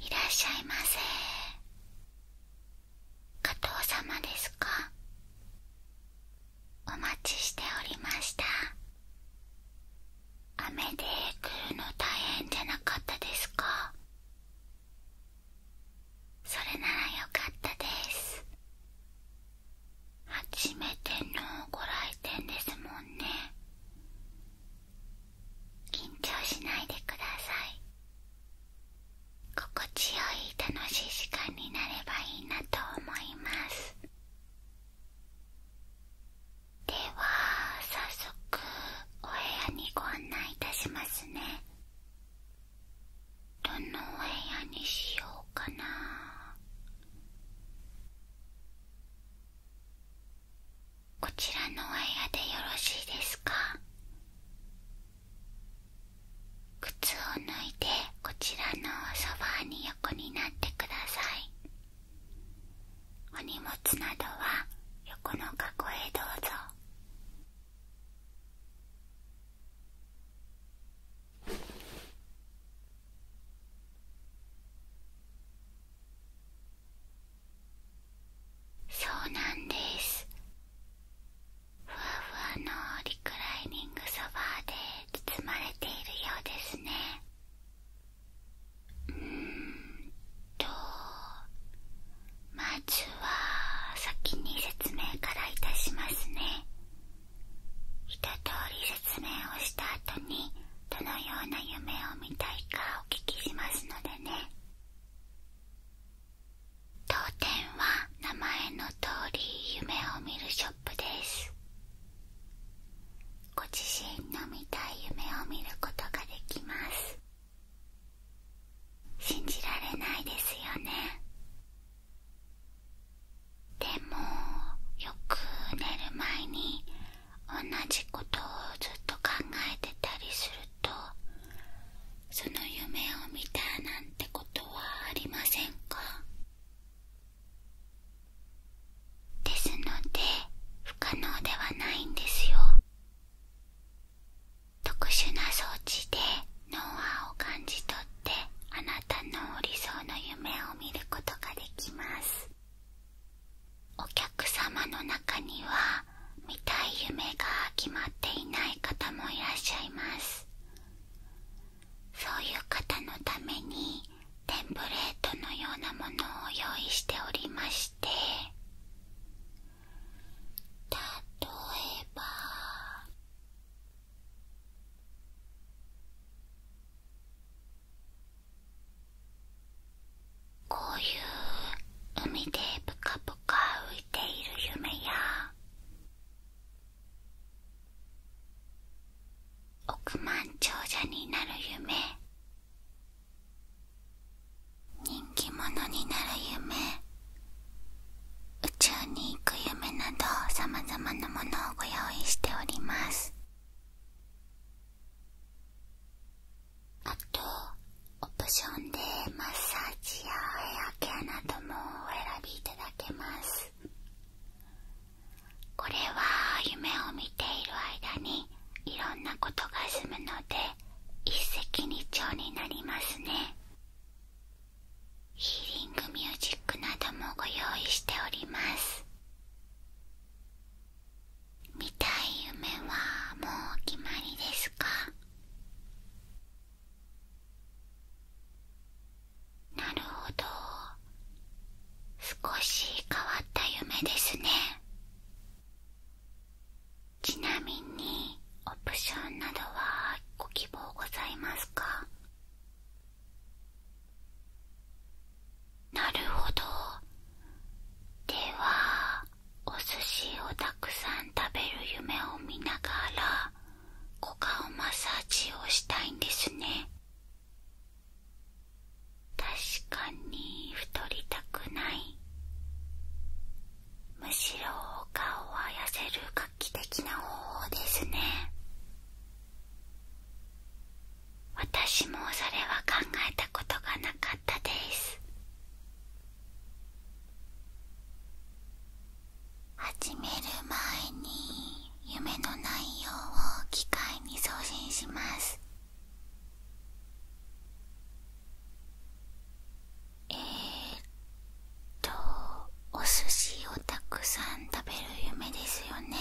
いらっしゃいませ加藤様ですかお待ちしておりました雨で来るの大変じゃなかったですかそれならよかったです初めてのご来店ですもんね緊張しないでください心地よい楽しい時間になればいいなと思いますでは早速お部屋にご案内いたしますねどのお部屋にしようかなこちらのお部屋でよろしいですか靴を脱いでこちらのソフに横になってくださいお荷物などは横の囲へどうぞそうなんですふわふわのリクライニングソファーで包まれているようですねうんとまずは先に説明からいたしますね一通り説明をした後にどのような夢を見たいかお聞きしますのでね当店は名前の通り夢を見るショップですご自身の見たい夢を見ることができます信じられないですよねでもよく寝る前に同じことをずっと考えてたりするとその夢を見たなんてことはありませんかですので不可能ではないんですよ特殊な装置で脳波を感じ取ってあなたのお理想の夢を見ることができますお客様の中には見たい夢が決まっていない方もいらっしゃいますそういう方のためにテンプレートのようなものを用意しておりまして例えばこういう海でぷかぷか浮いている夢や億万長者になる夢人気者になる夢宇宙に行く夢などさまざまなものをご用意しておりますあとオプションでマッサージやヘアケアなどもお選びいただけますこれは夢を見ている間にいろんなことが済むので一石二鳥になりますねヒーリングミュージックなどもご用意しております見たい夢はもうお決まりですかなるほど少し変わった夢ですねちなみにオプションなどはご希望ございますかなるほどではお寿司をたくさん食べる夢を見ながら股間マッサージをしたいんですね確かに太りたくないむしろお顔は痩せる画期的な方法ですね私もそれは考えたことがなかったです始める前に夢の内容を機械に送信しますえっとお寿司をたくさん食べる夢ですよね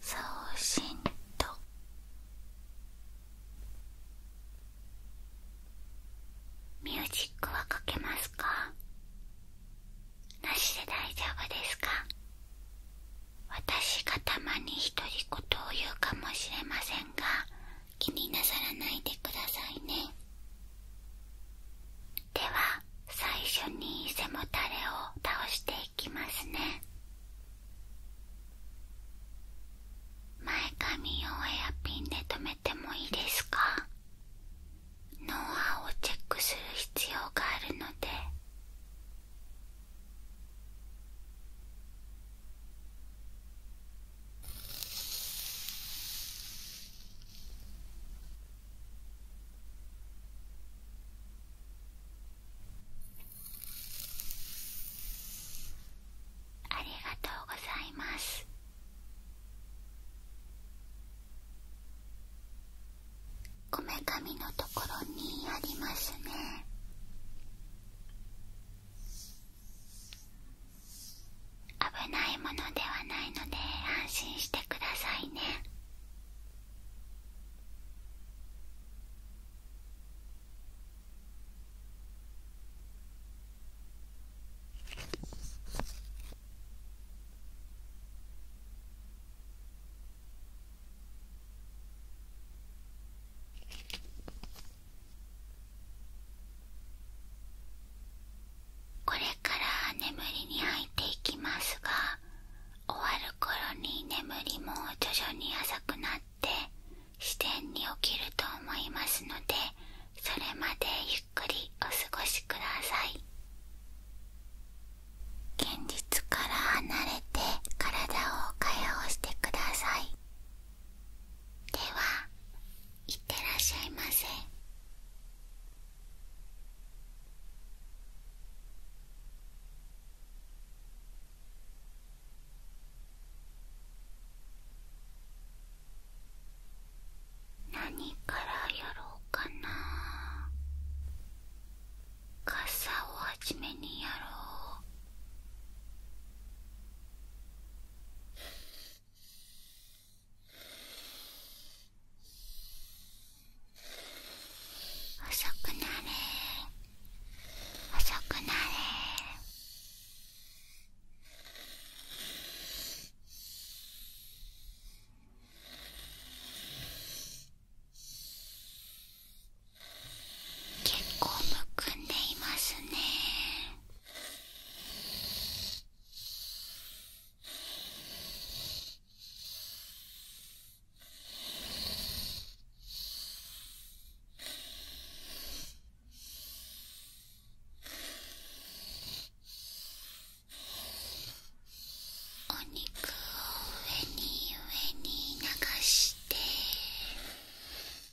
送信ミュージックはかけますかなしで大丈夫ですか私がたまに独り言を言うかもしれませんが気になさらないでくださいねでは最初に背もたれを倒していきますね前髪をエアピンで留めてもいいですか脳波をチェックする必要があるのでありがとうございますこめかみのところにありますね危ないものではないので安心してくださいねこれから眠りに入っていきますが終わる頃に眠りも徐々に浅くなって自然に起きると思いますのでそれまでゆっくりお過ごしください現実から離れて体を解放してくださいではいってらっしゃいませ何からやろうかな傘をはじめにやろう遅くなれ遅くなれ結構むくんでいますね。お肉を上に上に流して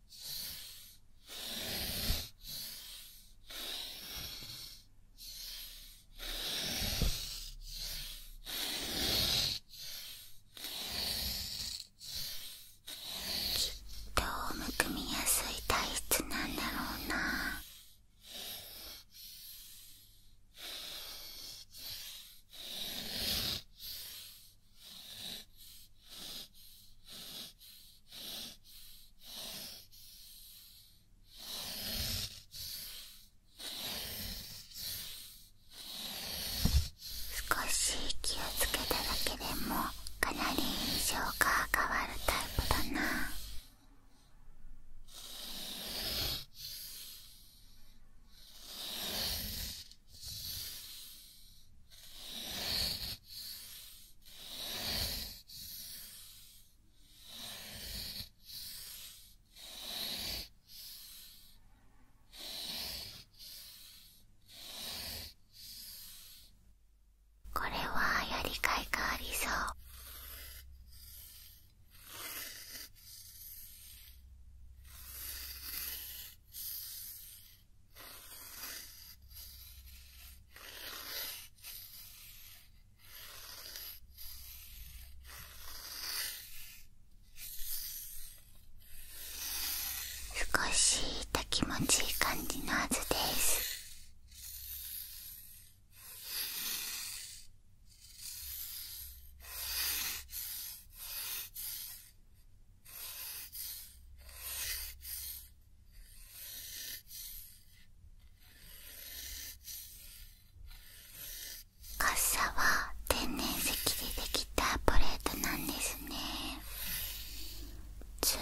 きっとむくみやすい体質なんだろうな少し気をつけただけでもかなり印象が変わるタイプだなこれはやりがいがありそう少した気持ちいい感じのはずですカッサは天然石でできたプレートなんですねずっ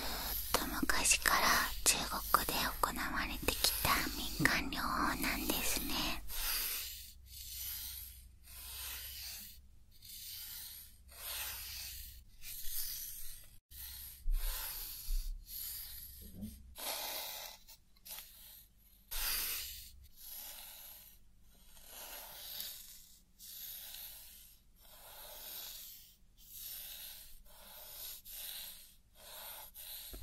と昔から中国で行われてきた民間療法なんですね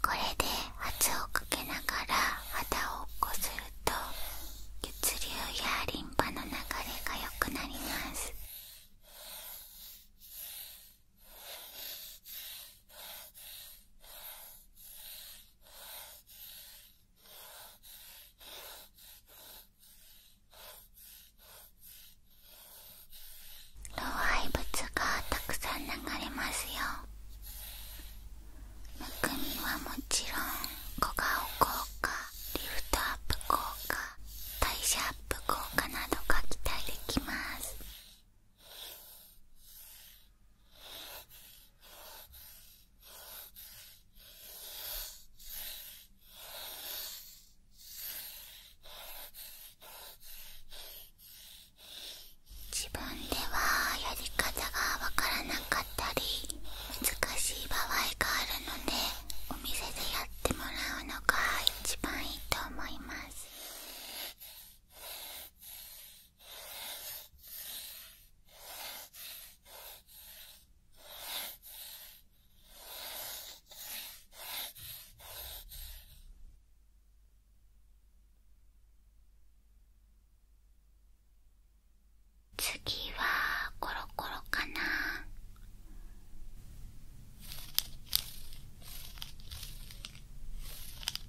これで圧をかけながら肌を起こすると血流やリンパの流れが良くなります。老廃物がたくさん流れますよむくみはもちろん小顔効果リフトアップ効果代謝アップ効果などが期待できます自分ではやり方がわからなかったり難しい場合があるのね。お店でやってもらうのが一番いいと思います次はコロコロかな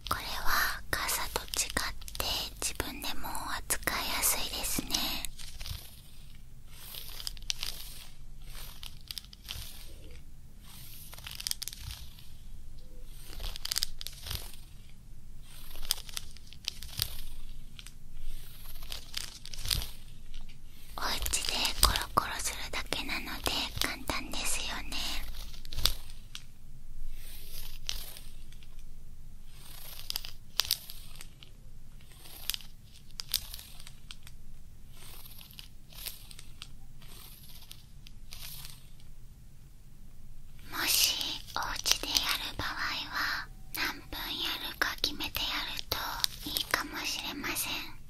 これは傘と違って自分でも扱いやすいですねおうちでコロコロするだけなので簡単ですよねもしおうちでやる場合は何分やるか決めてやるといいかもしれません。例え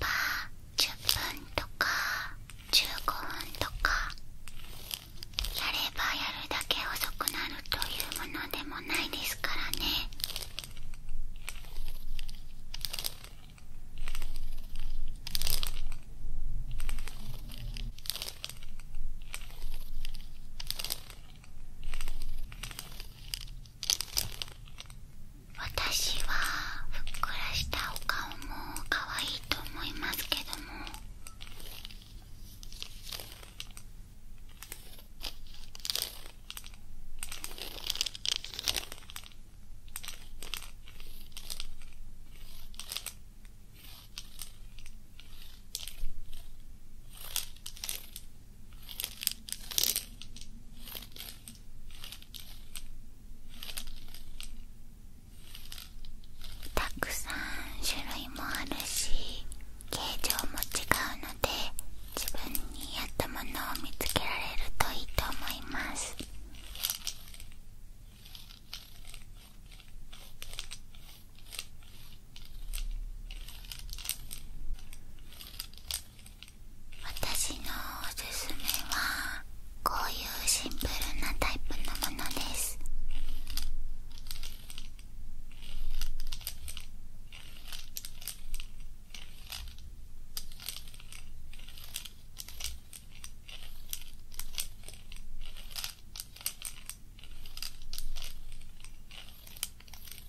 ば10分とか15分とかやればやるだけ遅くなるというものでもないですからね私はふっくらしたお顔も可愛いと思いますけどもたくさん種類もあるし形状も違うので自分に合ったものを見つけられるといいと思います私のおすすめはこういうシンプルなタイプのものです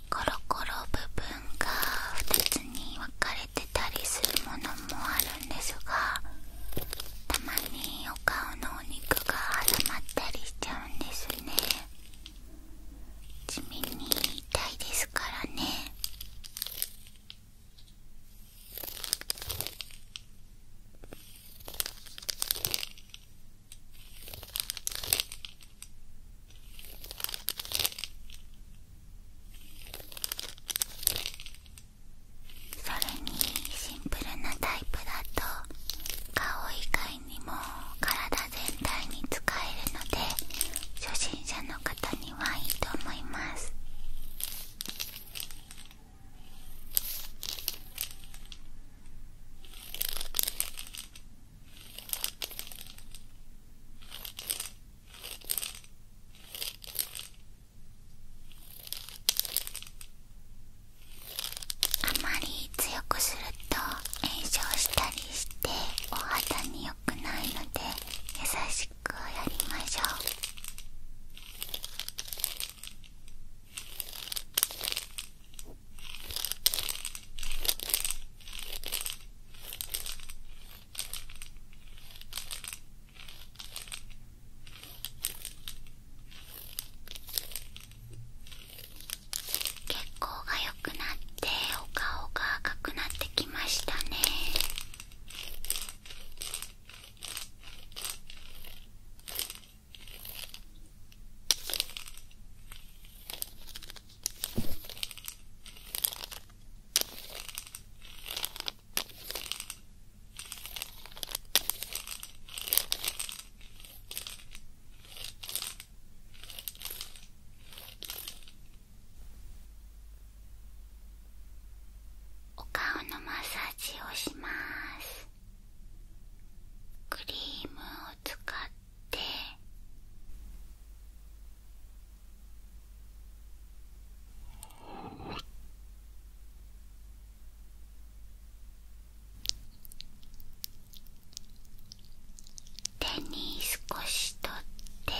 コロコロ部分が2つに分かれてたりするものもあるんですがたまにお顔のお肉が挟まったりしちゃうんですね地味に痛いですからねそれにシンプルなタイプだと顔以外体全体に使えるので初心者の方にはいいと思いますあまり強くすると炎症したりしてお肌に良くないので優しくやりましょう結構が良くなってお顔が赤くなってきましたねお顔のマッサージをしますクリームを使って手に少し取って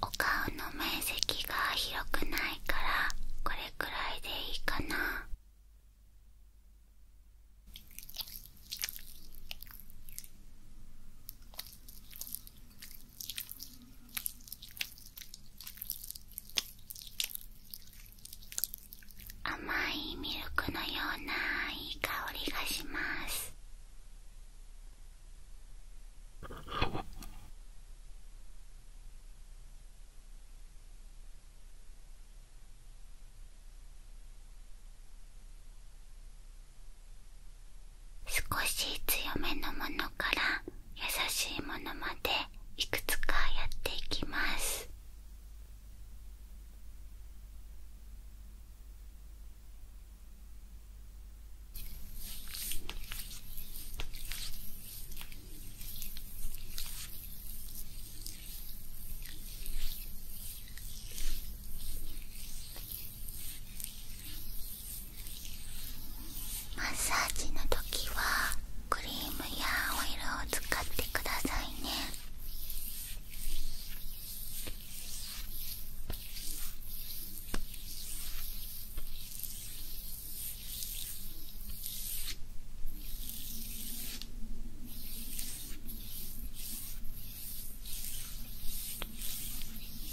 お顔の面積が広くないからこれくらいでいいかな甘いミルクのようないい香りがします少し強めのものから優しいものまでいくつかやっていきますマッサージの時はクリームやオイルを使ってくださいね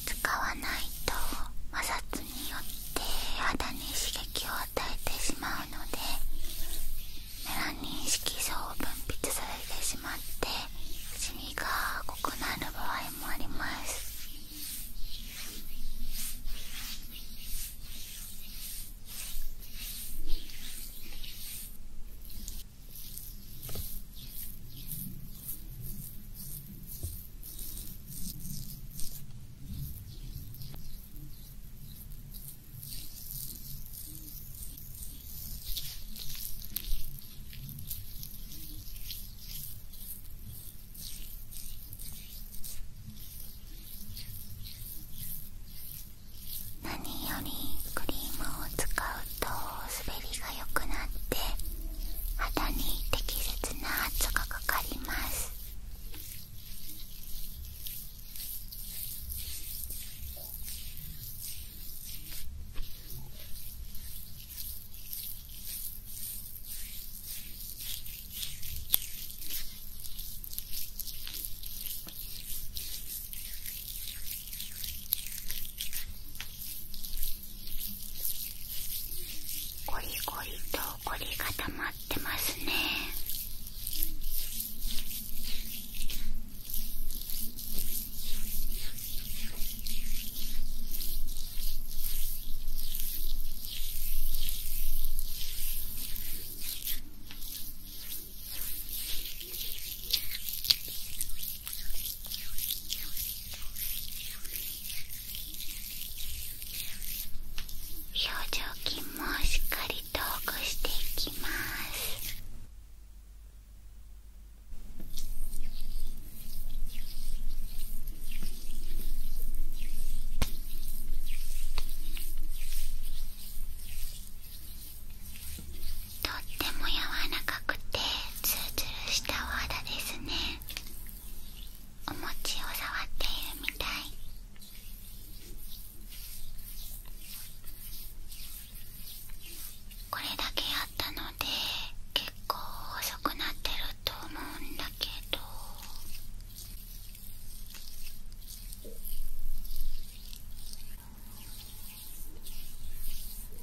使わないと摩擦によって肌に刺激を与えてしまうのでメラニン色素を分泌されてしまってシみが濃くなる場合もあります何よりクリームを使うと滑りが良くなって肌に適切な圧がかかりますゴリゴリとゴリがたまってますね表情筋もしっかりとほぐしていきますとっても柔らかくてツルツルしたお肌ですねお餅を触っているみたいこれだけやったので結構細くなってると思うんだけど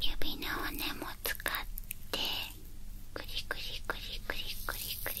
指の骨も使ってくりくりくりくりくりくり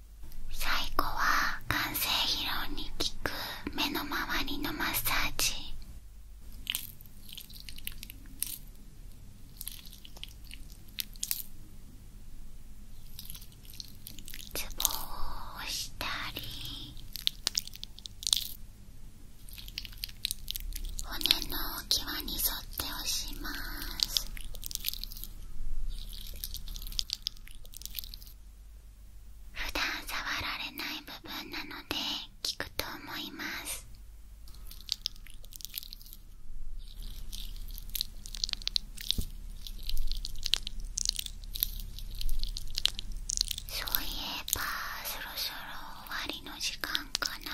最後は完成疲労に効く目の周りのマッサージツボを押したり骨の際に沿って押します普段触られない部分なので効くと思いますそういえばそろそろ終わりの時間かな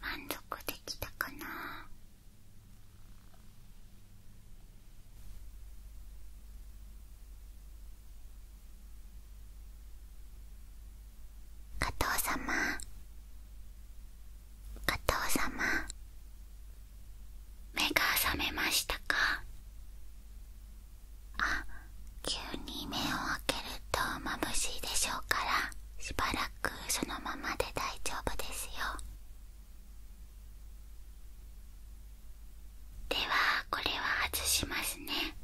満足できたかな加藤様加藤様目が覚めましたかあ急に目を開けると眩しいでしょうからしばらくそのままで大丈夫ですよではこれは外しますね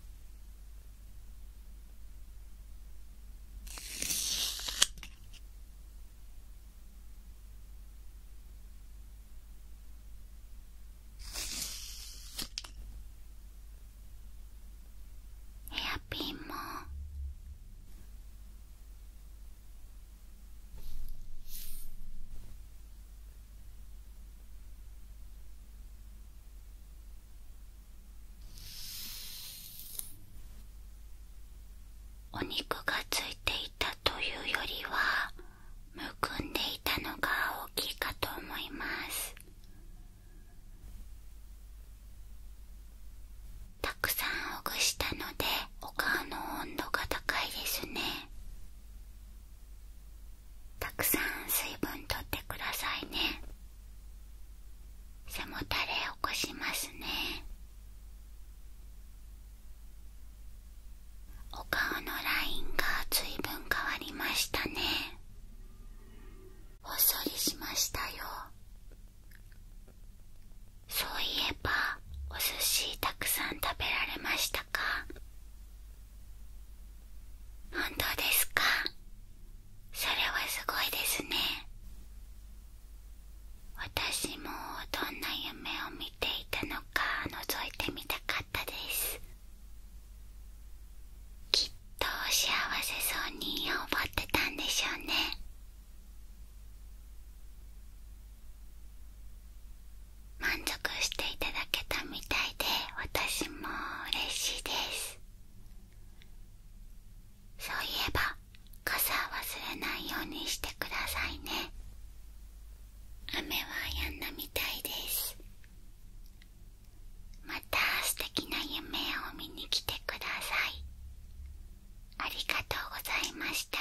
ヘアピンもお肉がついていたというよりはむくんでいたのが大きいかと思いますたくさんほぐしたのでお顔の温度が高いですねたくさん水分とってくださいね背もたれ起こしますねお顔のラインがずいぶん変わりましたねお処りしましたよそういえばお寿司たくさん食べられましたか本当ですかそれはすごいですね私もどんな夢を見ていたのか覗いてみたかったですきっと幸せそうに頬張ってたんでしょうね満足していただけたみたいで私も嬉しいですそういえば傘忘れないようにしてくださいね雨はやんだみたいですまた素敵な夢を見に来てくださいありがとうございました